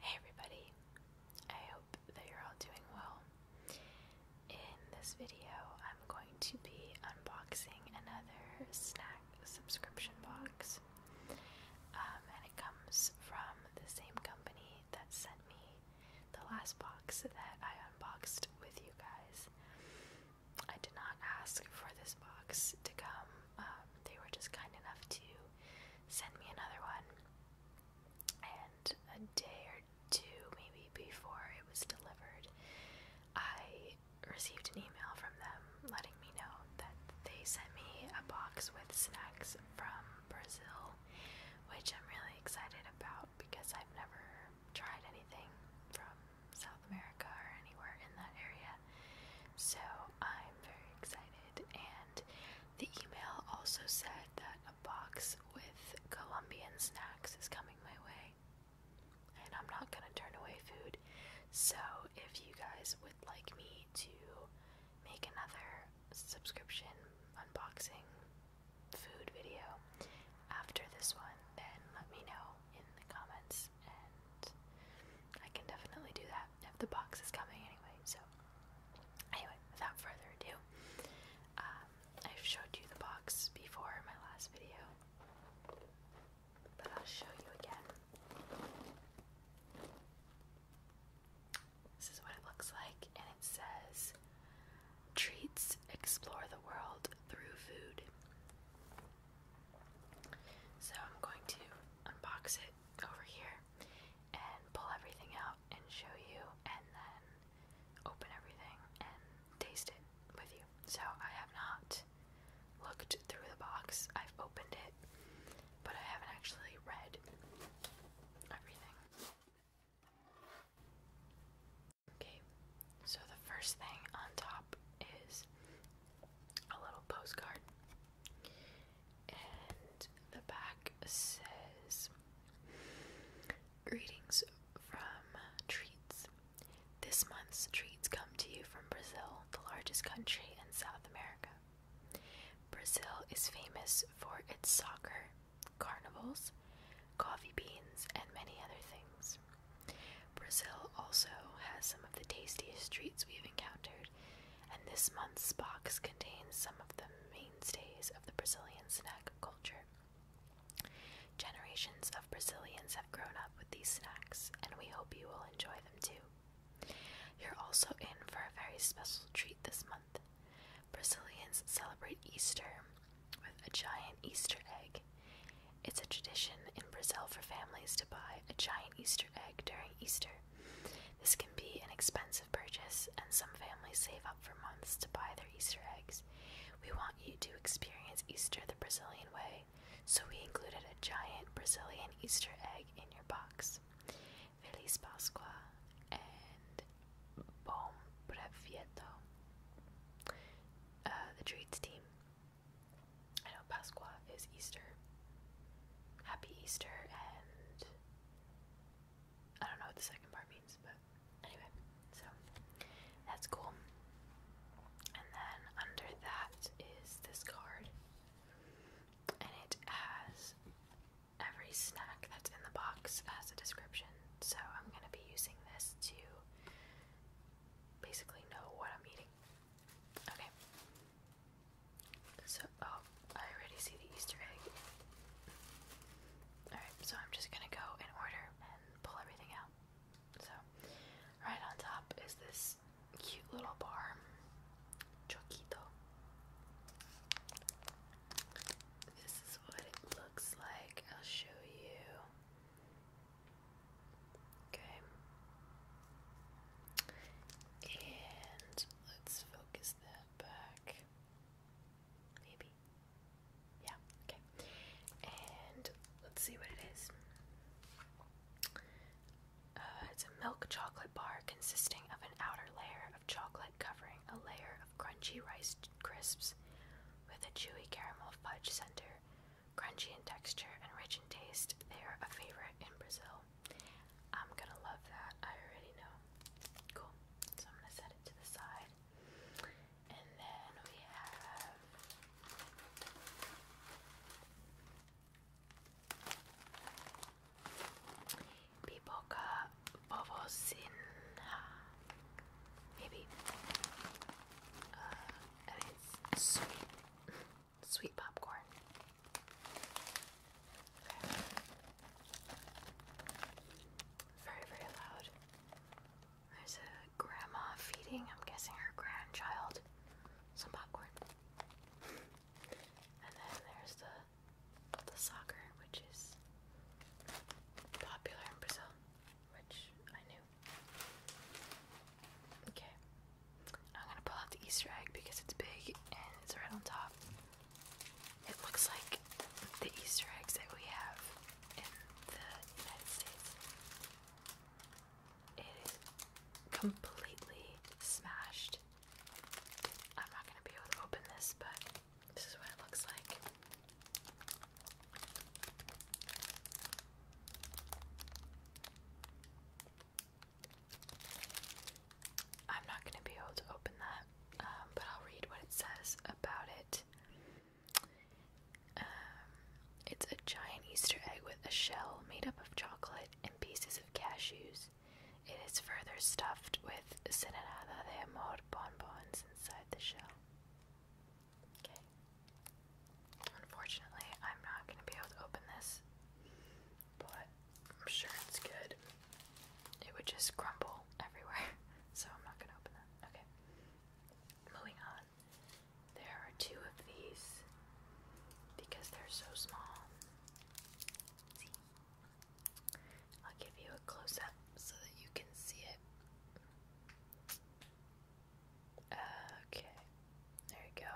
Hey everybody, I hope that you're all doing well. In this video, I'm going to be unboxing another snack subscription box. Um, and it comes from the same company that sent me the last box that I unboxed with you guys. I did not ask for this box to come. Um, they were just kind enough to send me another one. And a day or two, maybe before it was delivered, I received an email from them letting me know that they sent me a box with snacks from Brazil, which I'm really excited about because I've never tried anything from South America or anywhere in that area. So I'm very excited. And the email also said that a box with Colombian snacks is coming my way. And I'm not going to turn away food. So if you guys would like me to make another subscription unboxing food video after this one, then let me know in the comments and I can definitely do that if the box is coming anyway. So, anyway, without further ado, um, I've showed you the box before my last video, but I'll show you again. This is what it looks like, and it says Treats explore the world through food. So I'm going to unbox it over here and pull everything out and show you, and then open everything and taste it with you. So I have not looked through the box, I've opened it, but I haven't actually read everything. Okay, so the first thing on top is a little postcard, and the back says Greetings from Treats. This month's treats come to you from Brazil, the largest country in South America. Brazil is famous for its soccer carnivals, coffee beans, and many other things. Brazil also has some of the tastiest treats we've encountered, and this month's box contains some of the mainstays of the Brazilian snack culture. Generations of Brazilians have grown up with these snacks, and we hope you will enjoy them too. You're also in for a very special treat this month. Brazilians celebrate Easter with a giant Easter egg. It's a tradition in Brazil for families to buy a giant Easter egg during Easter. This can be an expensive purchase, and some families save up for months to buy their Easter eggs. We want you to experience Easter the Brazilian way, so we included a giant Brazilian Easter egg in your box. Feliz Pascua and Bom Previeto, uh, the treats team. I know Pasqua is Easter. Happy Easter, and I don't know what the second part means, but anyway, so that's cool. And then under that is this card, and it has every snack that's in the box has a description so I'm going to be using this to basically know what I'm eating. Okay. So, oh, I already see the Easter egg. Alright, so I'm just gonna go in order and pull everything out. So, right on top is this cute little bar, Choquito. This is what it looks like. I'll show you. Okay. And let's focus that back. Maybe. Yeah, okay. And let's see what it is. Uh, it's a milk chocolate bar consisting of an outer layer of chocolate covering a layer of crunchy rice crisps, with a chewy caramel fudge center. Crunchy in texture and rich in taste, they are a favorite in Brazil. I'm gonna love that, I already know. Cool. So I'm gonna set it to the side. And then we have Pipoca Vovosinha. Maybe. Uh, I mean, sweet. sweet popcorn. Very, very loud. There's a grandma feeding, I'm guessing, her grandchild some popcorn. and then there's the the soccer, which is popular in Brazil, which I knew. Okay, I'm gonna pull out the Easter egg because it's big and it's right on top. It looks like the Easter eggs that we have in the United States. It is completely smashed. I'm not gonna be able to open this, but this is what it looks like. I'm not going to be able to open that, um, but I'll read what it says about it. Um, it's a giant Easter egg with a shell made up of chocolate and pieces of cashews. It is further stuffed with Sinarada de Amor bonbons and Unfortunately, I'm not going to be able to open this, but I'm sure it's good. It would just crumble everywhere, so I'm not going to open that. Okay. Moving on. There are two of these because they're so small. I'll give you a close up so that you can see it. Okay, there you go.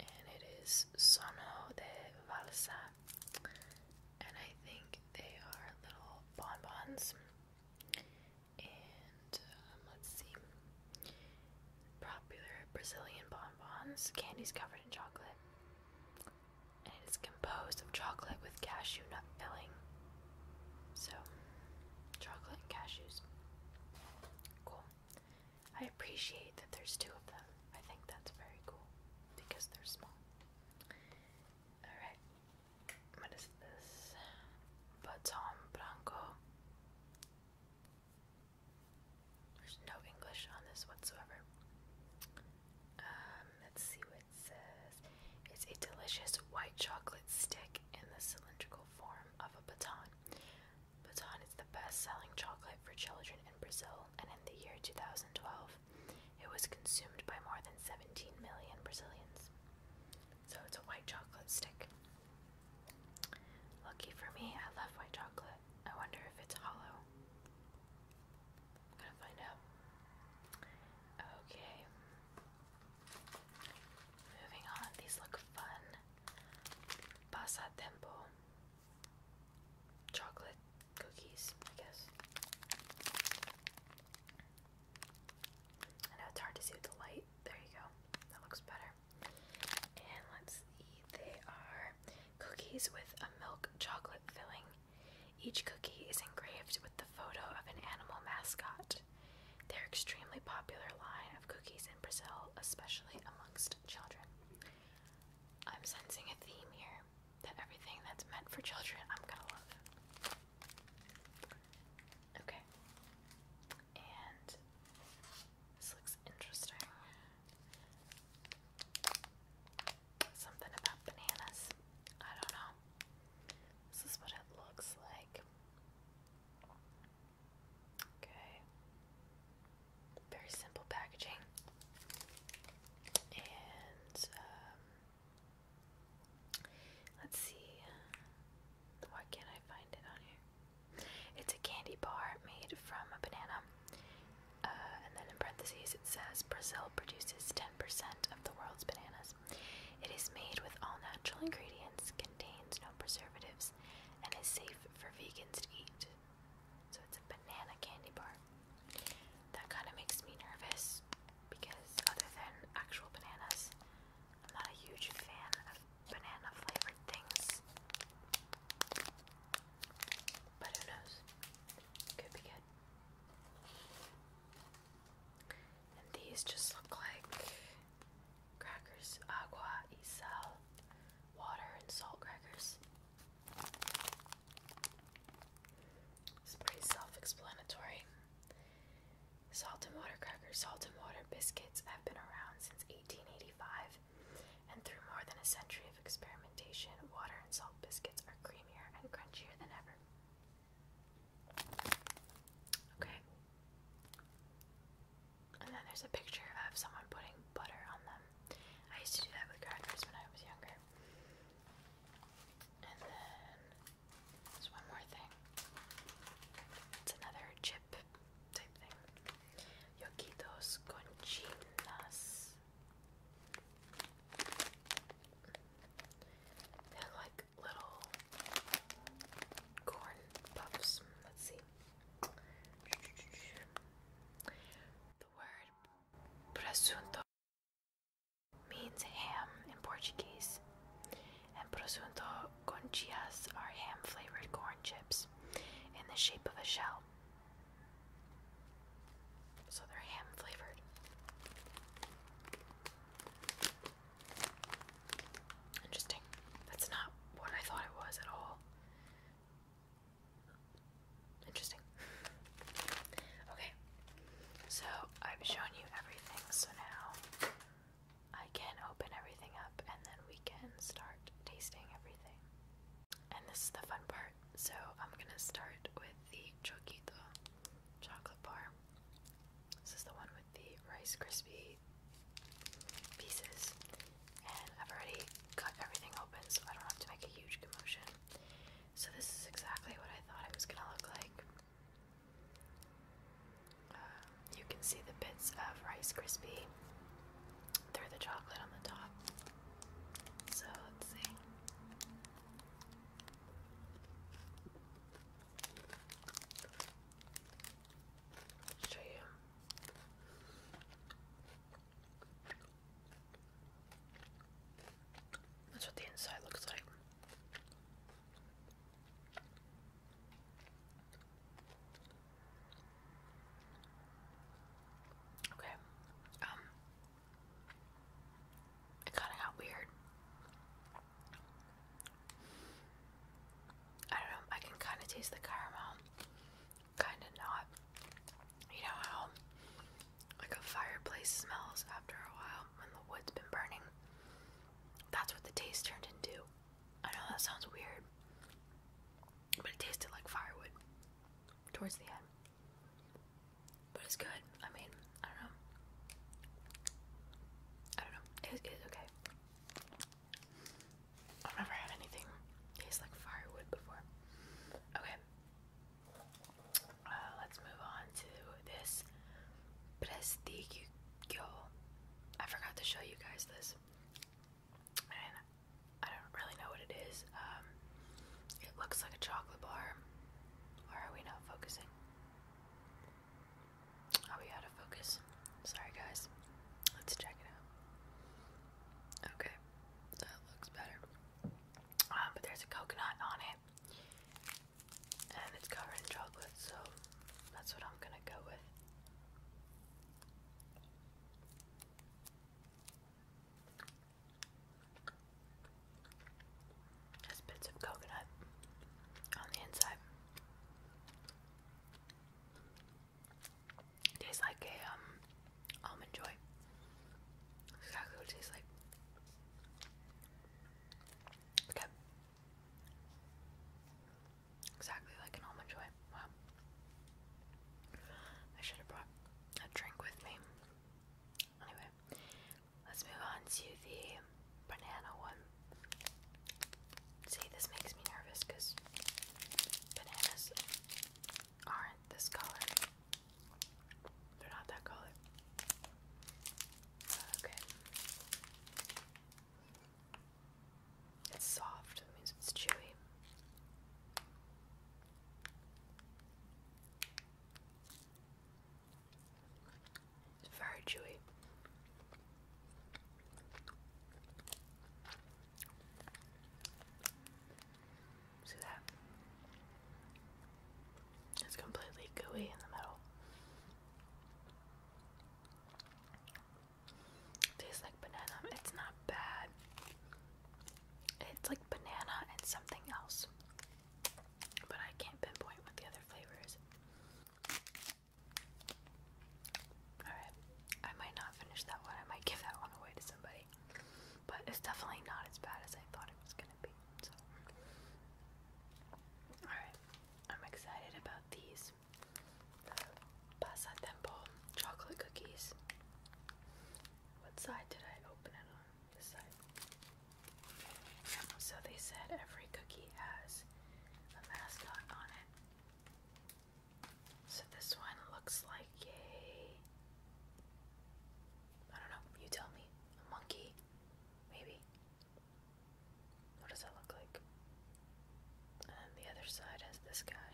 And it is Sono de Valsa. And I think they are little bonbons. And um, let's see. Popular Brazilian bonbons. Candy's covered in chocolate and it is composed of chocolate with cashew nut filling. So, chocolate and cashews. Cool. I appreciate that there's two of them. I think that's very cool because they're small. Alright. What is this? Baton Blanco. There's no English on this whatsoever. Um, let's see what it says. It's a delicious white chocolate stick in the cylindrical form of a baton. Baton is the best selling chocolate for children in Brazil, and in the year 2012, it was consumed by more than 17 million Brazilians. So it's a white chocolate stick. Lucky for me, I love white chocolate. I wonder if it's hollow. I'm gonna find out. Okay. Moving on. These look fun. Pasatempo. Chocolate cookies, I guess. I know it's hard to see with the light. There you go. That looks better. And let's see. They are cookies with a milk chocolate filling. Each cookie is engraved with the photo of an animal mascot. They're extremely popular line of cookies in Brazil, especially amongst children. I'm sensing a theme here that everything that's meant for children I'm gonna love. Okay. And this looks interesting. Something about bananas. I don't know. This is what it looks like. Okay. Very simple packaging. And, um, let's see. Why can't I find it on here? It's a candy bar made from a banana. Uh, and then in parentheses it says Brazil produces 10% of the world's bananas. It is made with all natural ingredients, contains no preservatives, and is safe for vegans to eat. So it's a banana candy bar. That kind of makes me nervous because, other than actual bananas, I'm not a huge fan of banana flavored things. But who knows? Could be good. And these just look like crackers, agua y sal, water and salt crackers. It's pretty self-explanatory. Salt and water crackers, salt and water biscuits have been around since 1885 and through more than a century of experimentation, water and salt biscuits are creamier and crunchier than ever. Okay. And then there's a picture of someone putting butter on them. I used to do that with crackers when I was younger. And then there's one more thing. It's another chip type thing. Yoquitos con chinas. They look like little corn puffs. Let's see. The word presunto means ham in Portuguese, and presunto conchas are ham flavored corn chips in the shape of a shell. So they're ham flavored. Interesting. That's not what I thought it was at all. Interesting. Okay. So I've shown you everything, so now I can open everything up and then we can start tasting everything. And this is the fun part. So I'm gonna start with the Choquito chocolate bar. This is the one with the Rice Krispie pieces. And I've already cut everything open so I don't have to make a huge commotion. So this is exactly what I thought it was gonna look like. Uh, you can see the bits of Rice Krispie Throw the chocolate on the top. So let's see. show you. That's what the inside looks like. Okay. Um it kinda got weird. I don't know, I can kinda taste the caramel. Kinda not. You know how like a fireplace smells after a while when the wood's been burning. That's what the taste turned into. I know that sounds weird but it tasted like firewood towards the end. But it's good. I mean, I don't know. I don't know. it's okay. I've never had anything taste like firewood before. Okay. Uh, let's move on to this Prestigio. I forgot to show you guys this. I don't really know what it is. Um, it looks like a chocolate bar. are we not focusing? Are we out of focus? Sorry, guys. Let's check it out. Okay, that looks better. Um, but there's a coconut on it, and it's covered in chocolate, so that's what I'm gonna go with. Just bits of coconut on the inside. Tastes like a um almond joy. That's tastes like. Exactly like an almond joy. Wow. I should have brought a drink with me. Anyway, let's move on to the banana one. See, this makes me nervous because bananas aren't this color. They're not that color. Okay. It's soft, That means it's chewy. It's very chewy. See that? It's completely gooey in the middle. Tastes like banana. It's not bad. It's like banana and something else. But I can't pinpoint what the other flavor is. Alright. I might not finish that one. I might give that one away to somebody. But it's definitely not as bad as I thought it was going to be. So. Alright. I'm excited about these cookies, the chocolate cookies. What side did I open it on? This side. So they said every cookie has a mascot on it. So this one looks like a. I don't know, you tell me. A monkey? Maybe? What does that look like? And the other side has this guy.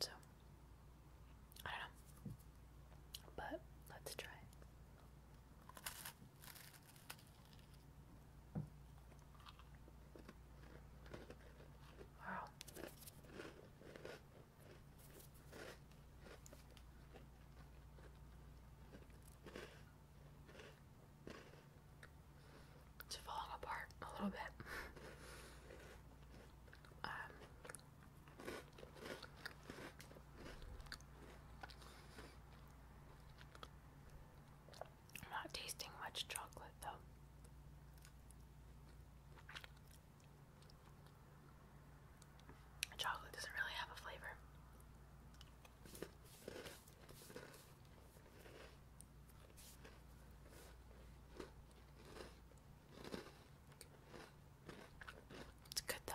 So, I don't know. But let's try Wow. It's falling apart a little bit. Um, I'm not tasting much chocolate though. Chocolate doesn't really have a flavor. It's good though.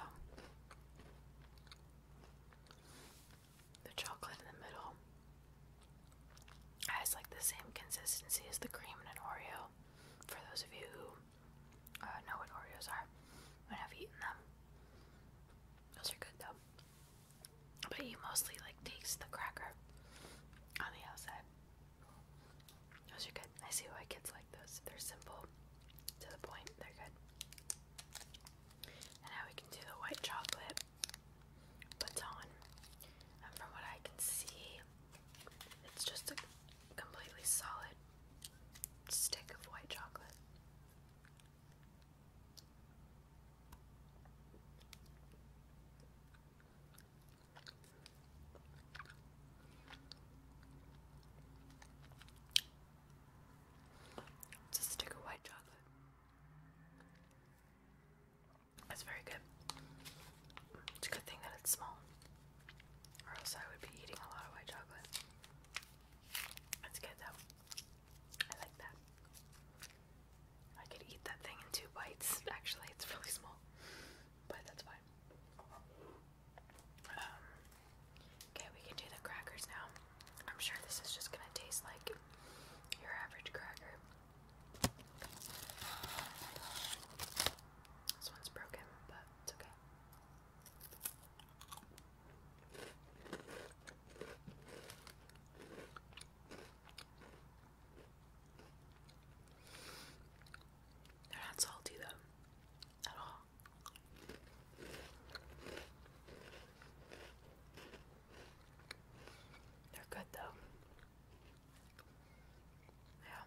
The chocolate in the middle has like the same consistency as the cream in an Oreo. For those of you who uh, know what Oreos are and have eaten them, those are good though but he mostly like takes the cracker on the outside. Those are good. I see why kids like those. They're simple, to the point. They're good. And now we can do the white chocolate baton. And from what I can see, it's just a completely solid stick of white chocolate. It's stick of white chocolate. That's very good. It's a good thing that it's small, or else I would be eating a lot of white chocolate. It's good though. I like that. I could eat that thing in two bites. Actually, it's really small, but that's fine. Um, okay, we can do the crackers now. I'm sure this is just gonna taste like your average cracker. This one's broken, but it's okay. They're not salty though, at all. They're good though. Yeah.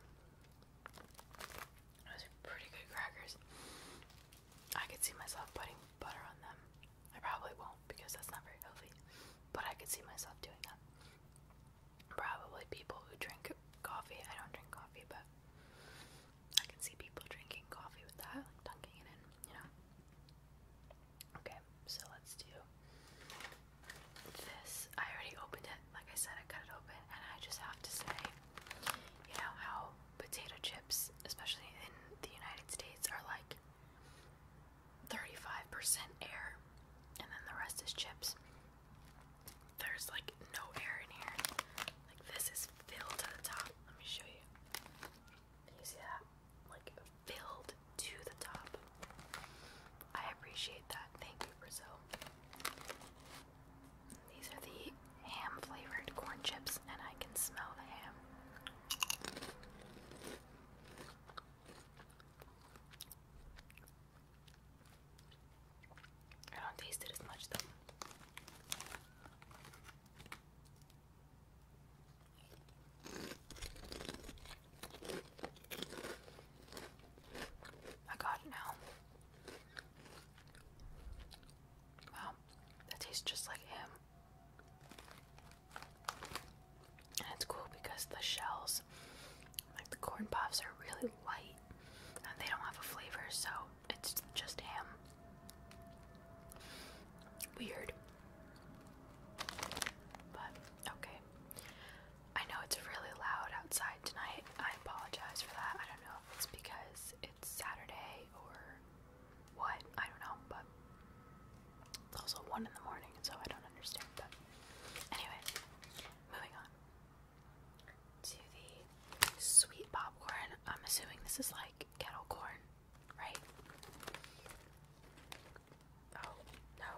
Those are pretty good crackers. I could see myself putting butter on them. I probably won't because that's not very healthy, but I could see myself doing that. Probably people who drink coffee. I don't drink coffee, but I can see people drinking coffee with that, like dunking it in, you know? Okay, so let's do this. I already opened it. Like I said, I cut it open, and I just have to say, you know how potato chips, especially in the United States, are like 35% air, and then the rest is chips. There's like no air in here. Like this is filled to the top. Let me show you. You see that? Like filled to the top. I appreciate that. Thank you, Brazil. These are the ham flavored corn chips, and I can smell the ham. I don't taste it as much though. I got it now. Wow that tastes just like him. And it's cool because the shells, like the corn puffs, are really light and they don't have a flavor, so it's just ham. Weird. But okay. I know it's really loud outside tonight. I apologize for that. I don't know if it's because it's Saturday or what? I don't know, but it's also 1 in the morning, so I don't understand. But anyway, moving on to the sweet popcorn. I'm assuming this is like kettle corn, right? Oh, no.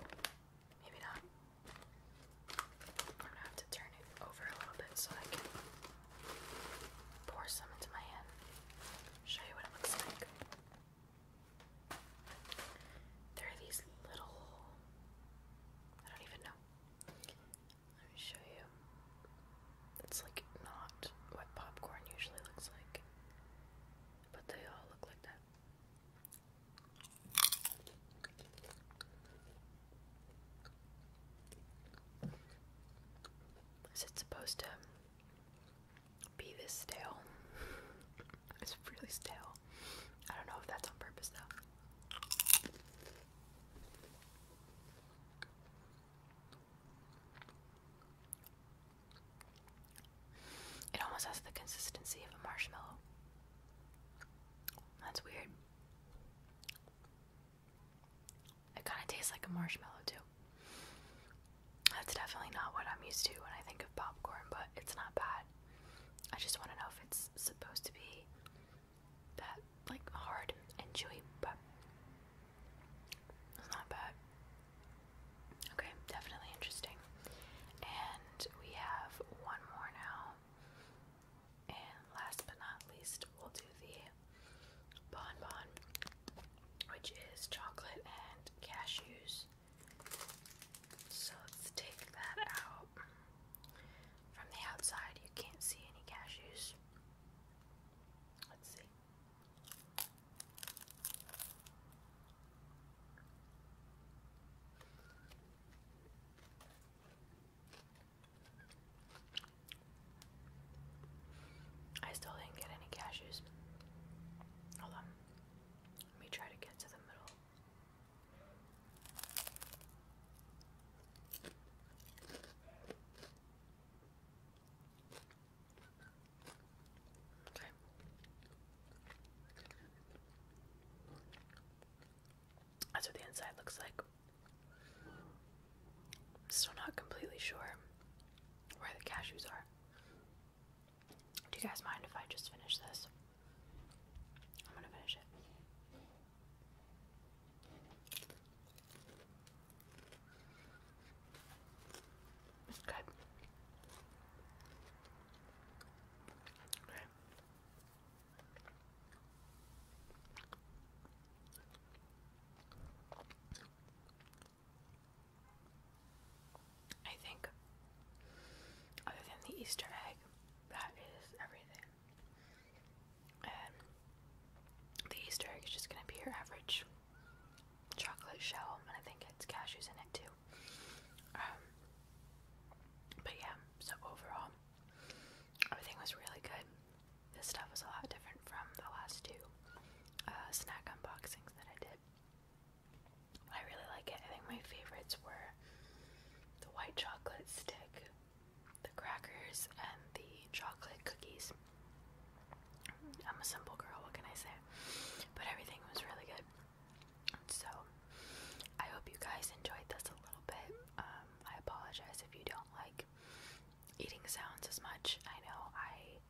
Maybe not. I'm gonna have to turn it over a little bit so I can pour some into my hand, show you what it looks like. There are these little, I don't even know. Let me show you. It's like not what popcorn usually looks like, but they all look like that. Is it supposed to be this stale? it's really stale. I don't know if that's on purpose though. It almost has the consistency of a marshmallow. That's weird. It kind of tastes like a marshmallow, too. That's definitely not what I'm used to when I think of popcorn, but it's not bad. I just want to know if it's supposed to be that, like, hard and chewy, but it's not bad. Okay, definitely interesting. And we have one more now. And last but not least, we'll do the bonbon, which is chocolate and cashews. So let's take that out. From the outside, you can't see any cashews. Let's see. I still didn't get any cashews. Hold on. Let me try to get to the middle. Okay. That's what the inside looks like. I'm still not completely sure where the cashews are. Do you guys mind if I just finish this? I'm gonna finish it. good. Okay. I think, other than the Easter egg, that is everything. And the Easter egg is just going to be your average chocolate shell, and I think it's cashews in it too. Um, but yeah, so overall, everything was really good. This stuff was a lot different from the last two uh, snack unboxings that I did. I really like it. I think my favorites were the white chocolate stick, the crackers, and the chocolate cookies. I'm a simple girl, what can I say? But everything was really good. So, I hope you guys enjoyed this a little bit. Um, I apologize if you don't like eating sounds as much. I know I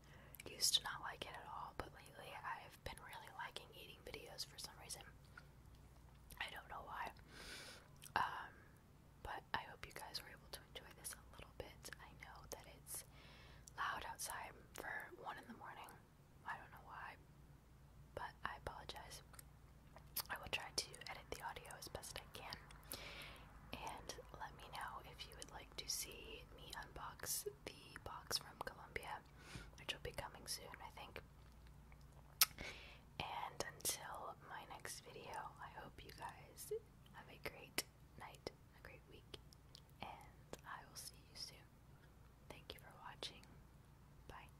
used to not like it at all, but lately I've been really liking eating videos for some reason. I don't know why. Um, but I hope you guys were able to enjoy this a little bit. I know that it's loud outside for one in the morning. I don't know why, but I apologize. I will try to edit the audio as best I can. And let me know if you would like to see me unbox the box from Colombia, which will be coming soon, I think. And until my next video, I hope you guys have a great night, a great week, and I will see you soon. Thank you for watching. Bye.